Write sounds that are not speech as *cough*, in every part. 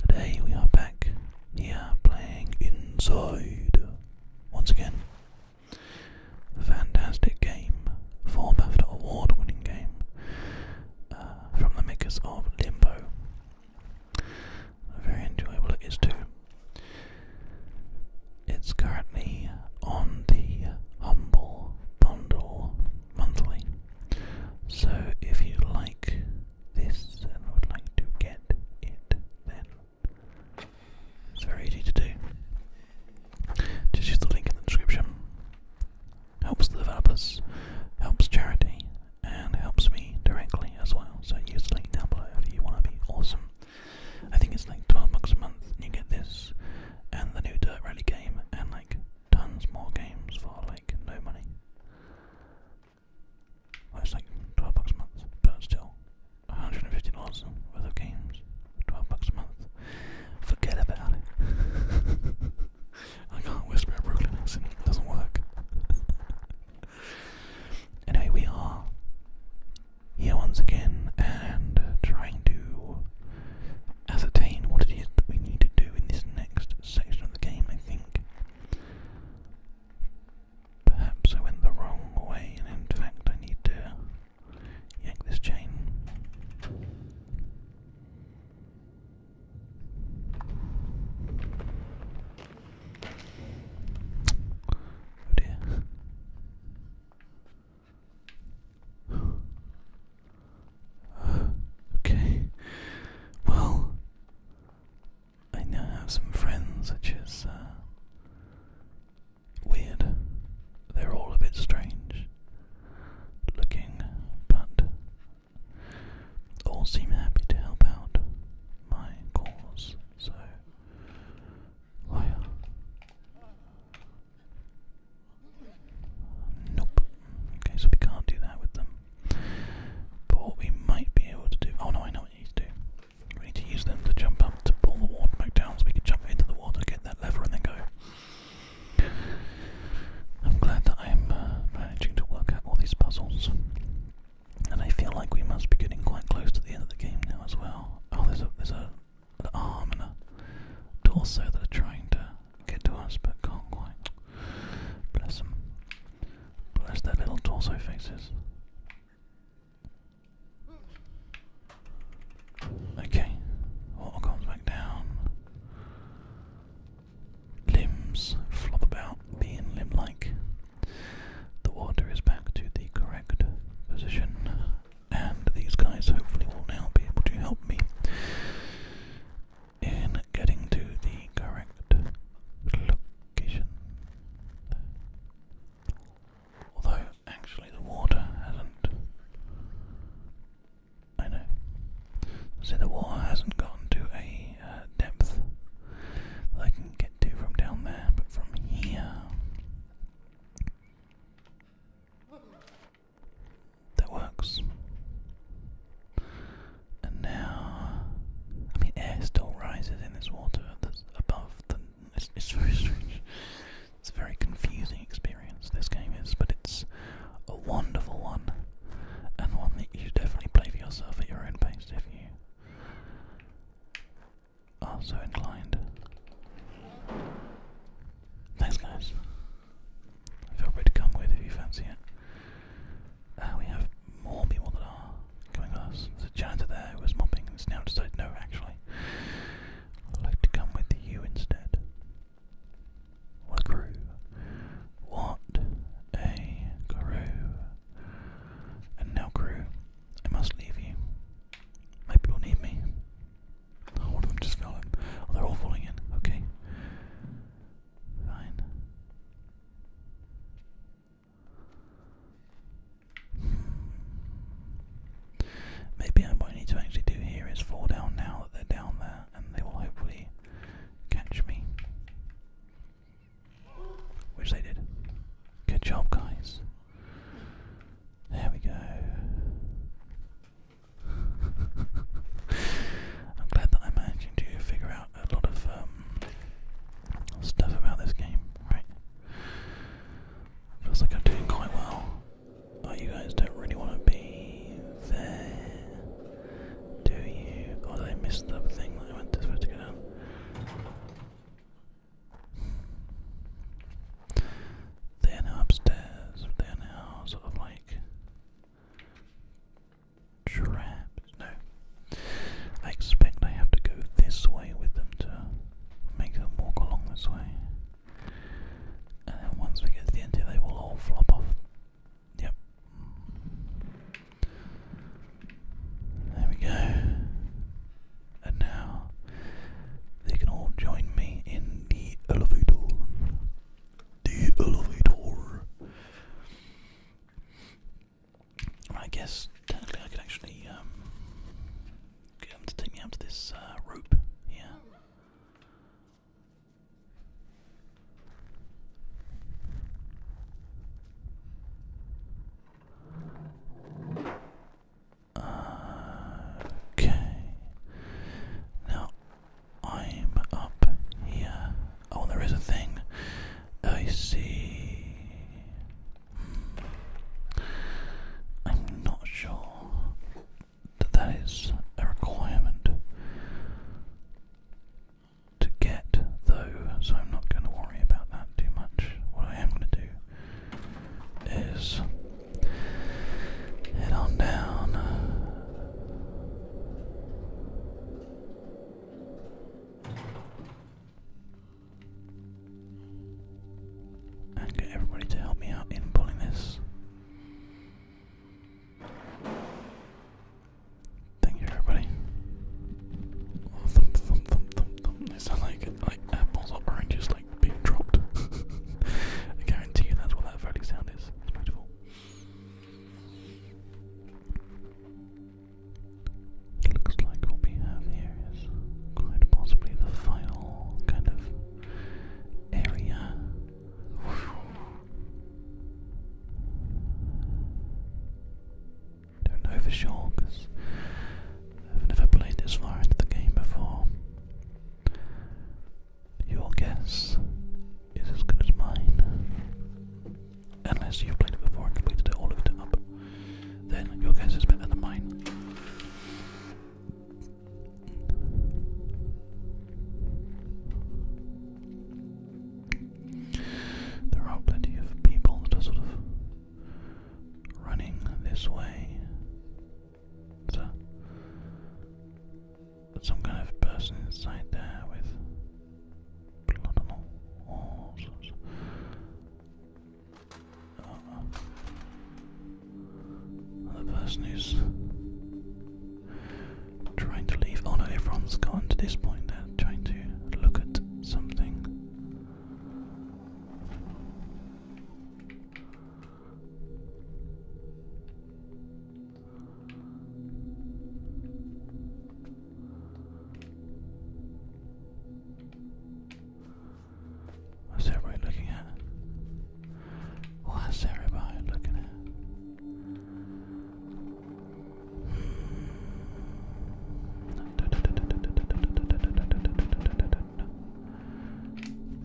Today we are back here playing Inside once again. Fantastic game, for BAFTA award winning game uh, from the makers of Limbo. Very enjoyable it is too. It's currently on the Humble Bundle monthly. So if you like this and would like to get it, then it's very easy to do. Just use the link in the description. Helps the developers, helps charity, and helps me directly as well. So use the link down below if you want to be awesome. I think it's like 12 bucks a month, you get this, and the new Dirt Rally game, and like tons more games for like no money it's like 12 bucks a month, but still, $150 worth of games, 12 bucks a month. Forget about it. *laughs* I can't whisper a Brooklyn accent, it doesn't work. *laughs* anyway, we are here once again and trying to ascertain what it is that we need to do in this next section of the game, I think. Perhaps I went the wrong way, and in fact, I need to yank this chain. Oh dear. *sighs* okay. Well, I now have some friends, which is uh, weird. They're all a bit strange looking, but all seem happy to help out my cause, so. Liar. Nope. Okay, so we can't do that with them. But we might be able to do. Oh no, I know what you need to do. We need to use them to jump up to pull the water back down so we can jump into the water, get that lever, and then go. I'm glad that I'm uh, managing to work out all these puzzles. And I feel like we must be getting quite close to the end of the game now as well. Oh, there's a there's a arm and a torso that are trying to get to us, but can't quite. Bless them. Bless their little torso faces. Okay, water comes back down. Limbs flop about, being limb like. The water is back to the correct position, and these guys hopefully will now be able to help me in getting to the correct location. Although, actually, the water hasn't. I know. So the water hasn't gotten to a uh, depth I can get to from down there, but from here. That works. And now, I mean, air still rises in this water that's above the. It's, very strange. It's a very confusing experience this game is, but it's a wonderful one, and one that you definitely play for yourself at your own pace if you are so inclined. Thanks, guys. Feel free to come with if you fancy it. Uh, we have more people that are coming with us. There's janitor there was mopping now decided, no, actually, I'd like to come with you instead. What crew. What a crew. And now, crew, I must leave you. My people need me. Oh, one of them just fell in. they're all falling in. Okay. Fine. Maybe what I need to actually do here is fall down now that they're down there, and they will hopefully catch me. Which they did. Good job, guys. There we go. I'm glad that I'm managing to figure out a lot of um, stuff about this game, Feels like I'm doing quite well. Oh, you guys don't really want to be there, do you? Oh, I miss the I went to supposed to go down? They upstairs. They are now sort of like Traps. No. I expect I have to go this way with them to make them walk along this way. And then once we get to the end here, they will all flop off. Yep. There we go. And now they can all join me in the elevator. The elevator. I guess technically I could actually um, get him to take me up to this uh, rope here. Uh, okay. Now I'm up here. Oh, there is a thing. I see. Hmm. I'm not sure that that is a requirement to get, though, so I'm not going to worry about that too much. What I am going to do is Head on down. And get everybody to help me out in pulling this. Thank you, everybody. Oh, thump, thump, like like apples or oranges, like being dropped. *laughs* I guarantee you that's what that verdict sound is. That's beautiful. It looks like what we have here is quite possibly the final kind of area. Don't know for sure because I've never played this far into the game before. Your guess is as good as mine. Unless you've played it before and completed all looked it up, then your guess is better than mine. There are plenty of people that sort of running this way it's a, some kind of person inside there with blood on the walls. The person is trying to leave. Oh no, Everyone's gone. to this point. They're trying to look at something. What's everybody looking at? What's everybody looking at?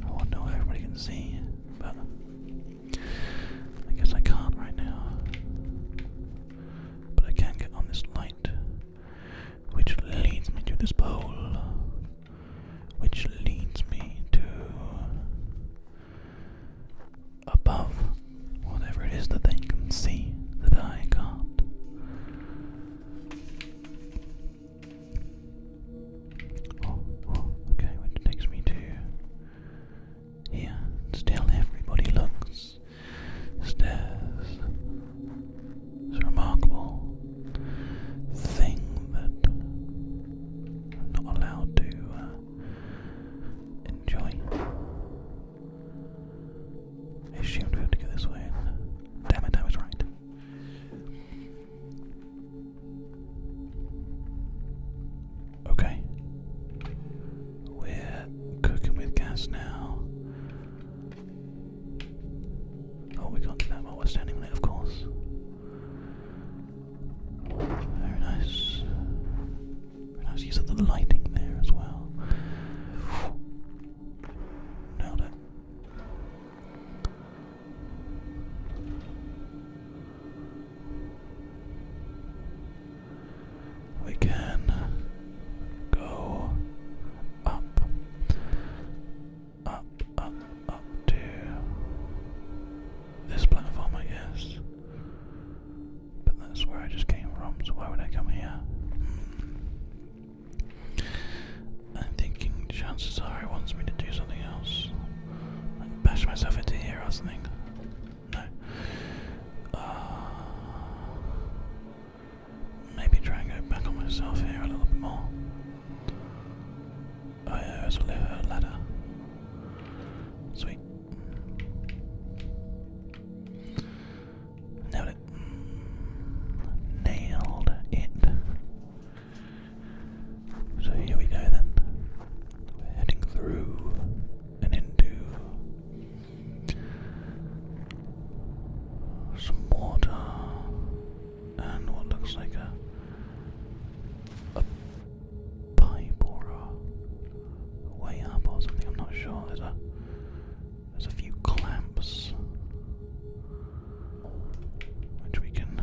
I want to know if everybody can see, but I guess I can't right now. But I can get on this light, which leads me to this pole, which leads me to above whatever it is that they can see that I can't. Oh, okay, which takes me to here. Still, everybody looks. Stairs. It's a remarkable thing that I'm not allowed to uh, enjoy. I assumed we had to go this way. Damn it, I was right. Okay. We're cooking with gas now. Oh, we can't do we're standing on of course. Very nice. nice use of the lighting there as well. Nailed it. We can go up, up, up, up to this platform, I guess. But that's where I just came from, so why would I come here? Hmm. I'm thinking chances are he wants me to do something else. Like bash myself into here or something. No. Uh, maybe try and go back on myself here a little bit more. Oh yeah, there's a ladder. Sweet. Nailed it. Nailed it. So here we go then. We're heading through and into some water and what looks like a a pipe or a way up or something, I'm not sure. There's a there's a few clamps which we can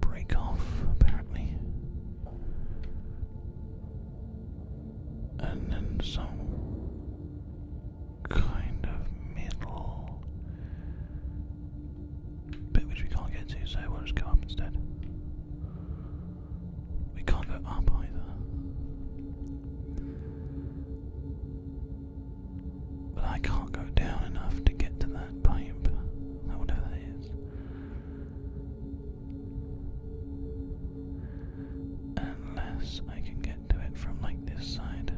break off, apparently. And then some kind of middle bit which we can't get to, so we'll just go up instead. We can't go up either. But I can't go down enough to get to that pipe. Or whatever that is. Unless I can get to it from like this side.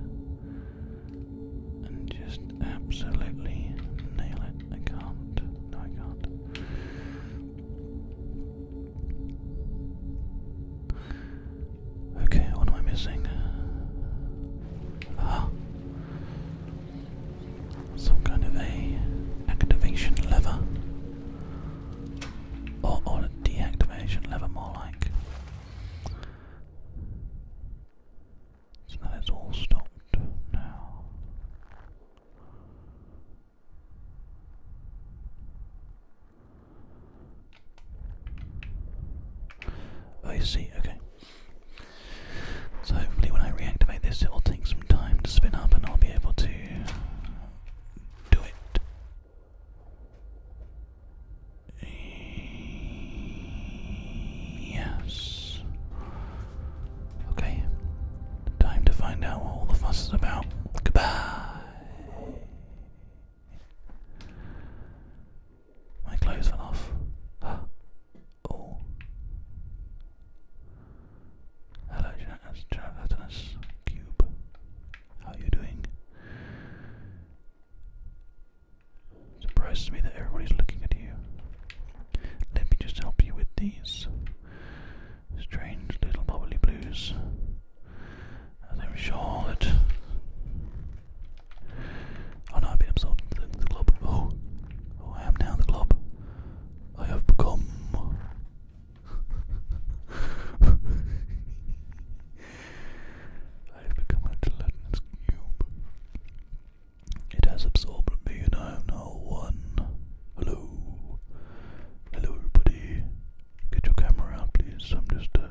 And just absolutely nail it. I can't. No, I can't. Okay, what am I missing? Ah, some kind of a activation lever, or, or a deactivation lever, more like. So that is all stopped now. I oh, see, okay. So hopefully when I reactivate this it will take some time to spin up and I'll be able to do it. Yes. Okay. Time to find out what all the fuss is about. Goodbye. My clothes fell off. *gasps* oh. Hello, Gelatinous Cube. How are you doing? Surprises me that everybody's looking at you. Let me just help you with these strange little bubbly blues. I'm sure that. Oh no, I've been absorbed in the glob. Oh, oh, I am now the glob. I have become. *laughs* I have become a gelatinous cube. It has absorbed me, and I am now one. Hello, hello, everybody. Get your camera out, please. I'm just uh,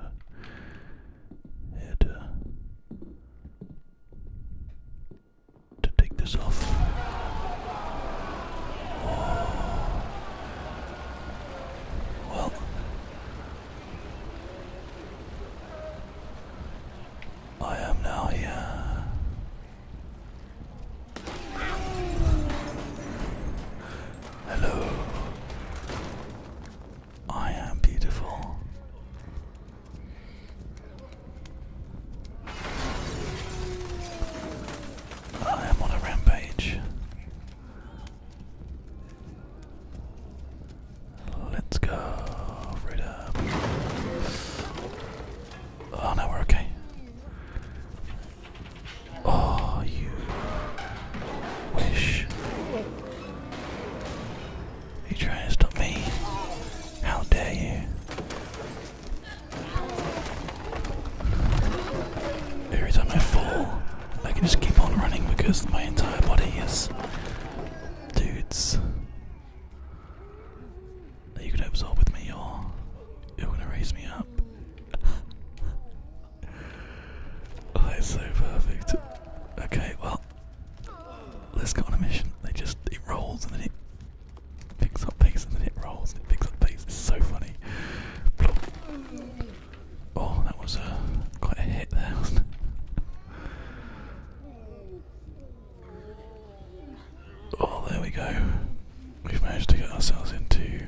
here to, take this off. Well, I am now here. Hello. I am beautiful. I am on a rampage. Let's go, right Oh no, we're okay. Oh, you wish. Are you trying to stop me? How dare you? Every time I fall, I can just keep on running because my entire body is dudes. Are you going absorb with me or you're gonna raise me up? Oh, that's so perfect. Okay, well, let's go on a mission. They just it rolls and then it picks up pace and then it rolls and it picks up pace. It's so funny. Oh, that was a uh, quite a hit there, wasn't it? Oh, there we go. We've managed to get ourselves into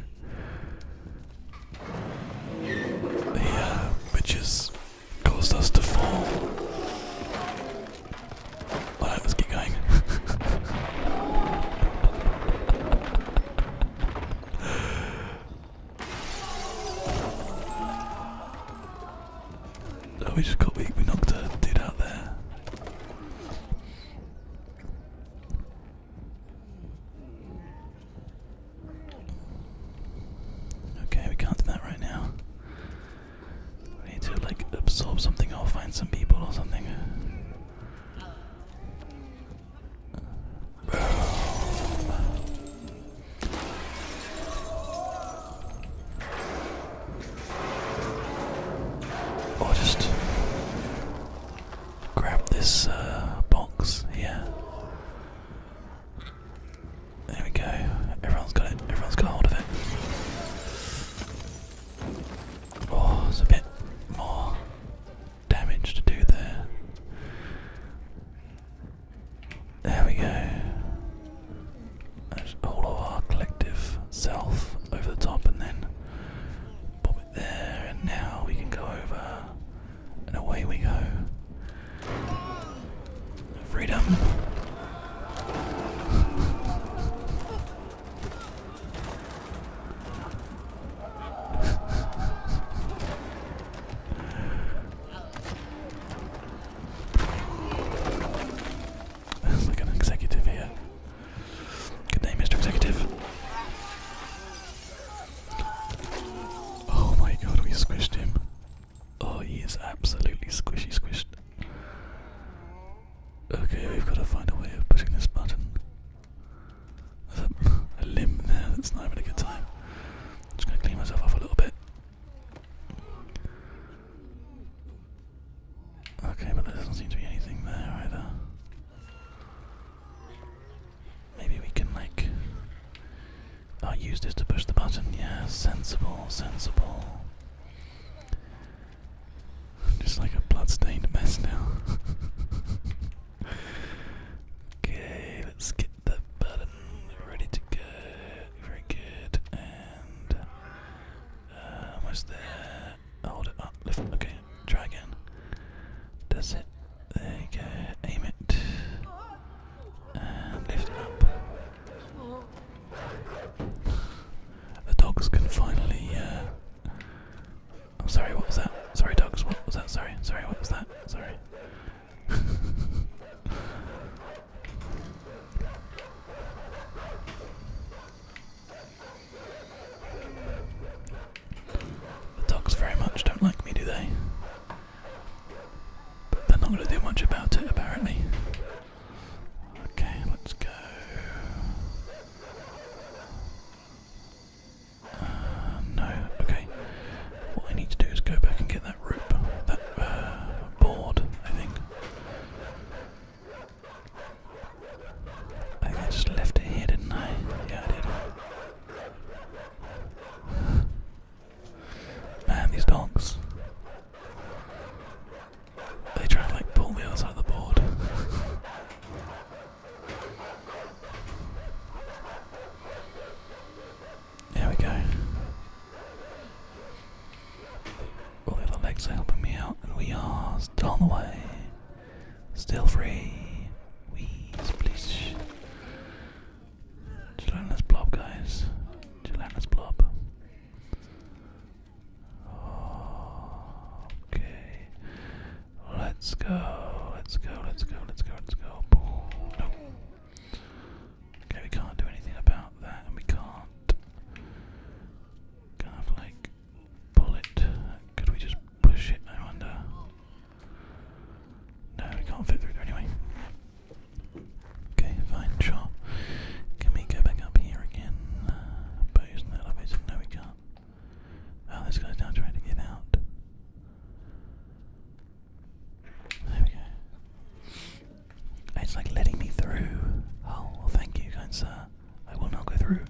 the witches caused us to fall. let's keep going. *laughs* oh, we just got we knocked a dude out there. Okay, we can't do that right now. We need to like absorb something or find some people or something. Or just grab this uh, box here. There we go. Everyone's got it. Everyone's got hold of it. Oh, there's a bit more damage to do there. There we go. That's all of our collective self over the top, and then pop it there. And now we can go over and away we go. Freedom. like *laughs* an executive here. Good day, Mr. Executive. Oh my god, we squished him. Oh, he is absolutely squishy squished. Okay, we've got to find a way of pushing this button. There's a, a limb there that's not having a good time. I'm just going to clean myself off a little bit. Okay, but there doesn't seem to be anything there either. Maybe we can like use this to push the button, yeah, sensible, sensible. Just like a bloodstained mess now. *laughs* okay, let's get the button ready to go. Very good. And uh, almost there hold it up, lift Okay, try again. That's it. There you go. Aim it. And lift it up. The dogs can finally. Uh, I'm sorry, what was that? Sorry, dogs, what was that? Sorry, sorry, what was that? Sorry. *laughs* The dogs very much don't like me, do they? But they're not going to do much about it, apparently. Okay, let's go. Uh, no, okay. What I need to do is go back and get that rope, that uh, board, I think. I just left it here, didn't I? Yeah, I did. *sighs* Man, these dogs. They try to like pull me outside the board. *laughs* there we go. All the legs are helping me out, and we are still on the way. Still free. Wheeze, please. Gelatinous blob, guys. Gelatinous blob. Okay. Let's go. Let's go. Let's go. Let's go. Let's go. Okay, we can't do anything about that, and we can't. Kind of like bullet. Could we just push it, I wonder? No, we can't fit through there anyway. Okay, fine, sure. Can we go back up here again? Uh, but is that elevator? No, we can't. Oh, this guy's now trying to get out. There we go. It's like letting me through. Oh, thank you, kind sir. I will not go through.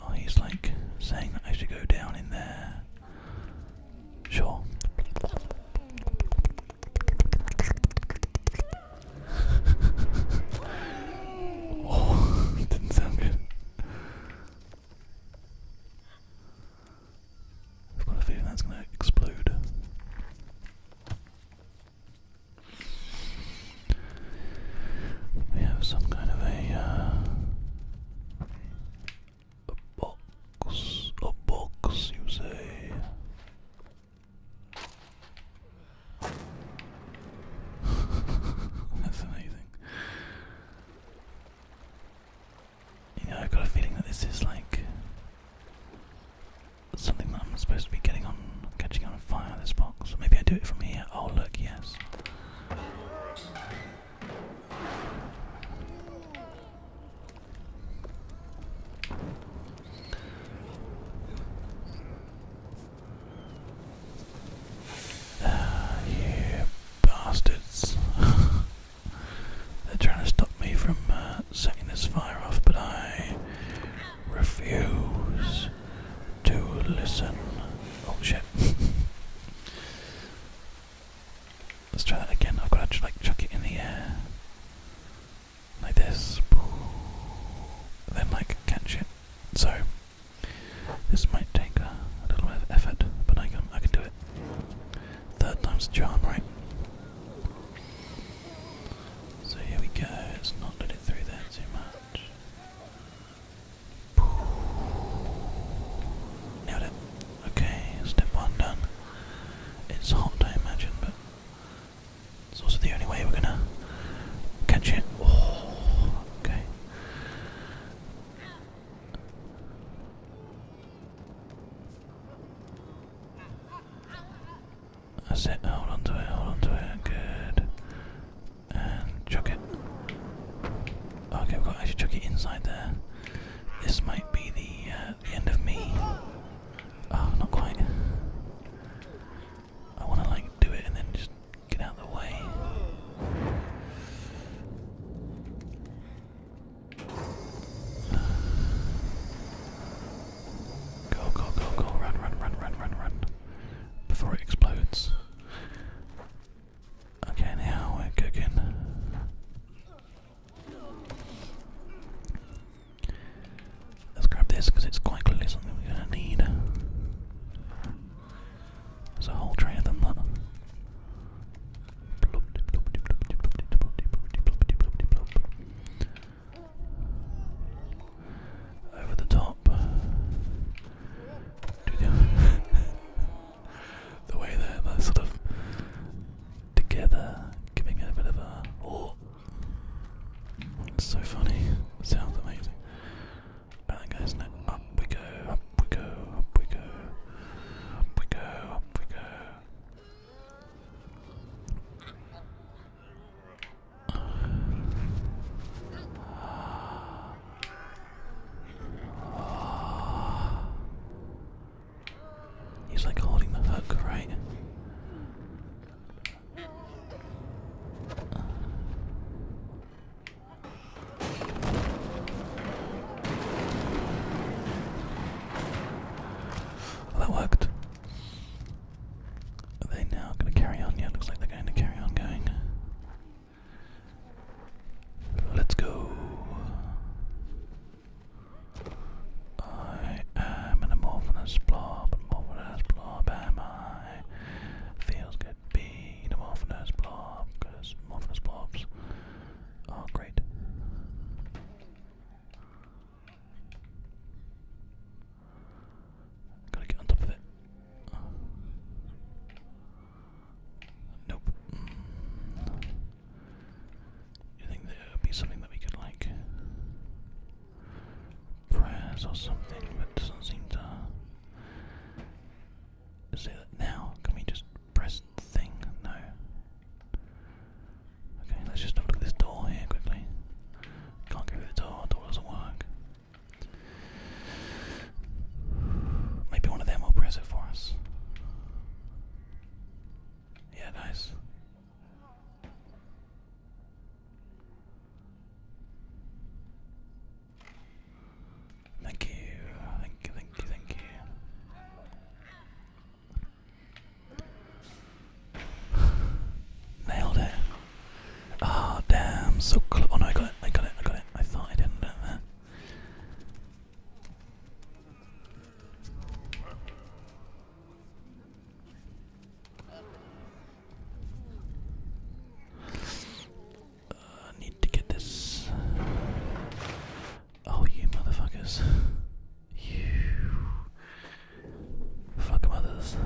Oh, he's like saying that I should go down in there. Sure. *laughs* Oh, *laughs* didn't sound good. I've got a feeling that's going to explode. We have some kind of a, uh, box, a box, you say. *laughs* That's amazing. You know, I've got a feeling that this is like something that I'm supposed to be getting on, catching on fire. This box. Maybe I do it from here. Oh look, yes. Ah, you bastards! *laughs* They're trying to stop me from uh, setting this fire off, but I refuse to listen. Oh shit. *laughs* Let's try that again. I've got to like chuck it in the air. Like this. And then like catch it. So this might take a, little bit of effort, but I can I can do it. Third time's a charm, right? So here we go, let's not let it through there too much. Nailed it. Okay, step one done. It's hot, I imagine, but it's also the only way we're gonna catch it. Oh, okay. I said, hold on to it, hold on to it, good. And chuck it. Okay, we've got to chuck it inside there. This might be the, uh, the end of me. Oh, not quite. I want to like do it and then just get out of the way. Go, go, go, go, run, run, run, run, run, run. Before it explodes. Okay, now we're cooking. Let's grab this because it's quite clearly something we're going to need. There's a whole tray of them. Over the top. *laughs* the, way they're, sort of together, giving it a bit of a. Oh. It's so funny. sounds amazing. And then goes Up we go, up we go, up we go. Up we go, up we go. He's like holding the hook, right? that worked. Are they now going to carry on? Yeah, looks like they're going to carry on going. Let's go. I am an amorphous blob, amorphous blob am I. Feels good being amorphous blob, amorphous blobs are great. Gotta get on top of it. nope. You think there would be something that we could like press or something, but doesn't seem to. Is it now? Can we just press the thing? No. Okay, let's just have a look at this door here quickly. Can't go through the door, door doesn't work. Maybe one of them will press it for us. Yeah, nice. Thank you, thank you, thank you, thank you. Nailed it. Ah, damn. So close. Oh no, I got it. I got it. I got it. I thought I didn't. That. Uh, need to get this. Oh, you motherfuckers. You. Fuck mothers.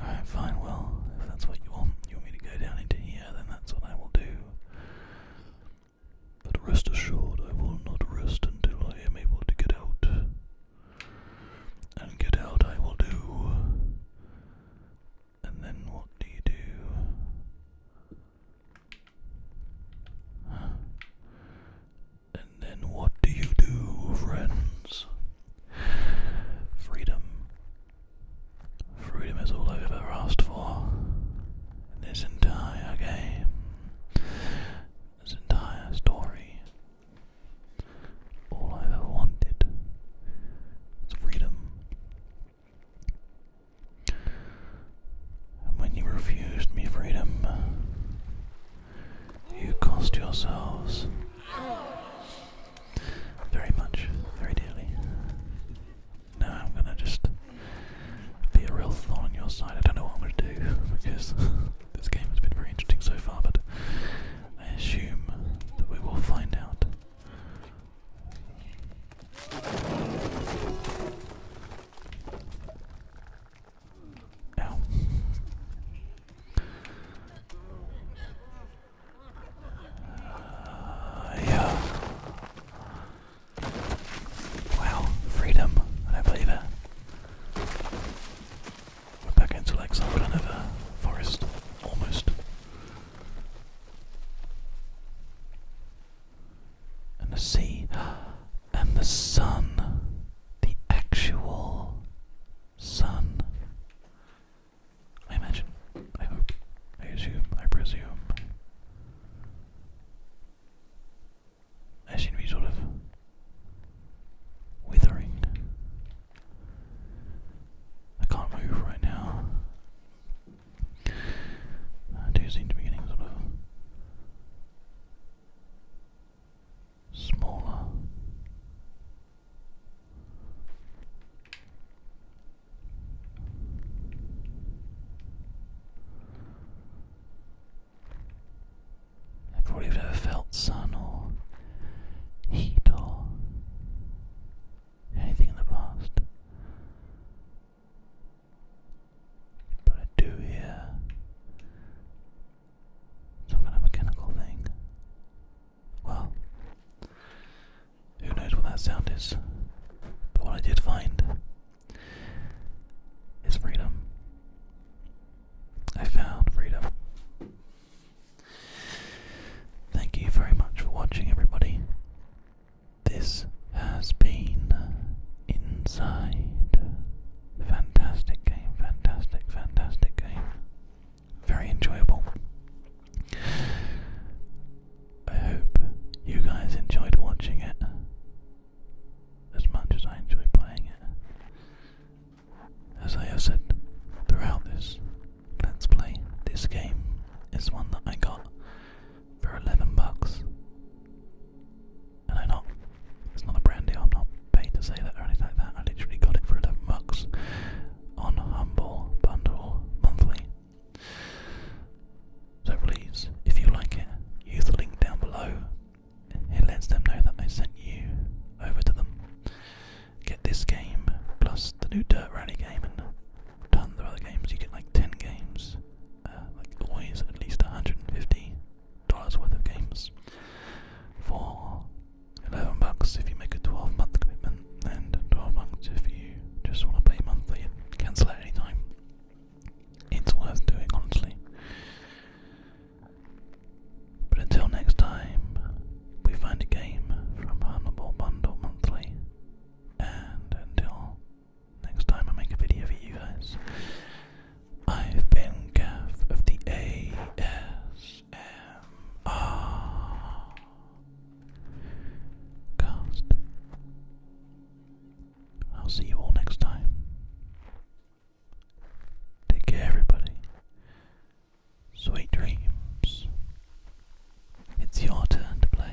Alright, fine, well, if that's what you want, you want me to go down into here, then that's what I will do. But rest assured, I will not rest until I am able to get out. And get out I will do. And then what do you do? And then what do you do, friends? Freedom. Freedom is all I've ever asked for this entire game, this entire story. All I've ever wanted is freedom. And when you refused me freedom, you cost yourselves very much, very dearly. Now I'm gonna just be a real thorn on your side. I don't know what I'm gonna do because *laughs* this game has been very interesting so far, but I assume that we will find out. Uh, yeah. Wow, freedom. I don't believe it. We're back into like some kind of a forest, almost and the sea and the sun, the actual sun. I imagine, I hope, I assume, I presume. I seem to be sort of withering. I can't move right now. I uh, do seem to be getting smaller. I probably have felt sun or heat or anything in the past. But I do hear some kind of mechanical thing. Well, who knows what that sound is? But what I did find is freedom. I found freedom. Thank you very much for watching, everybody. This has been Inside. Fantastic game, fantastic, fantastic game. Very enjoyable. I hope you guys enjoyed watching it as much as I enjoyed playing it. As I have said throughout this Let's Play, this game is one that I got for 11 bucks. And I not, it's not a brand I'm not paid to say that or anything like that. I literally got it for 11 bucks on Humble Bundle Monthly. So please, if you like it, use the link down below. It lets them know that I sent you over to them. Get this game, plus the new Dirt Rally game, and tons of other games. You get like 10 games uh, like always, at least $150 worth of games for 11 bucks if you make a 12 month commitment, and 12 months if you just want to pay monthly and cancel at any time. It's worth doing, honestly. But until next time, we find a game from Humble Bundle Monthly, and until next time I make a video for you guys. I've been Gav of the ASMR cast. I'll see you all next time. Take care, everybody. Sweet dreams. It's your turn to play.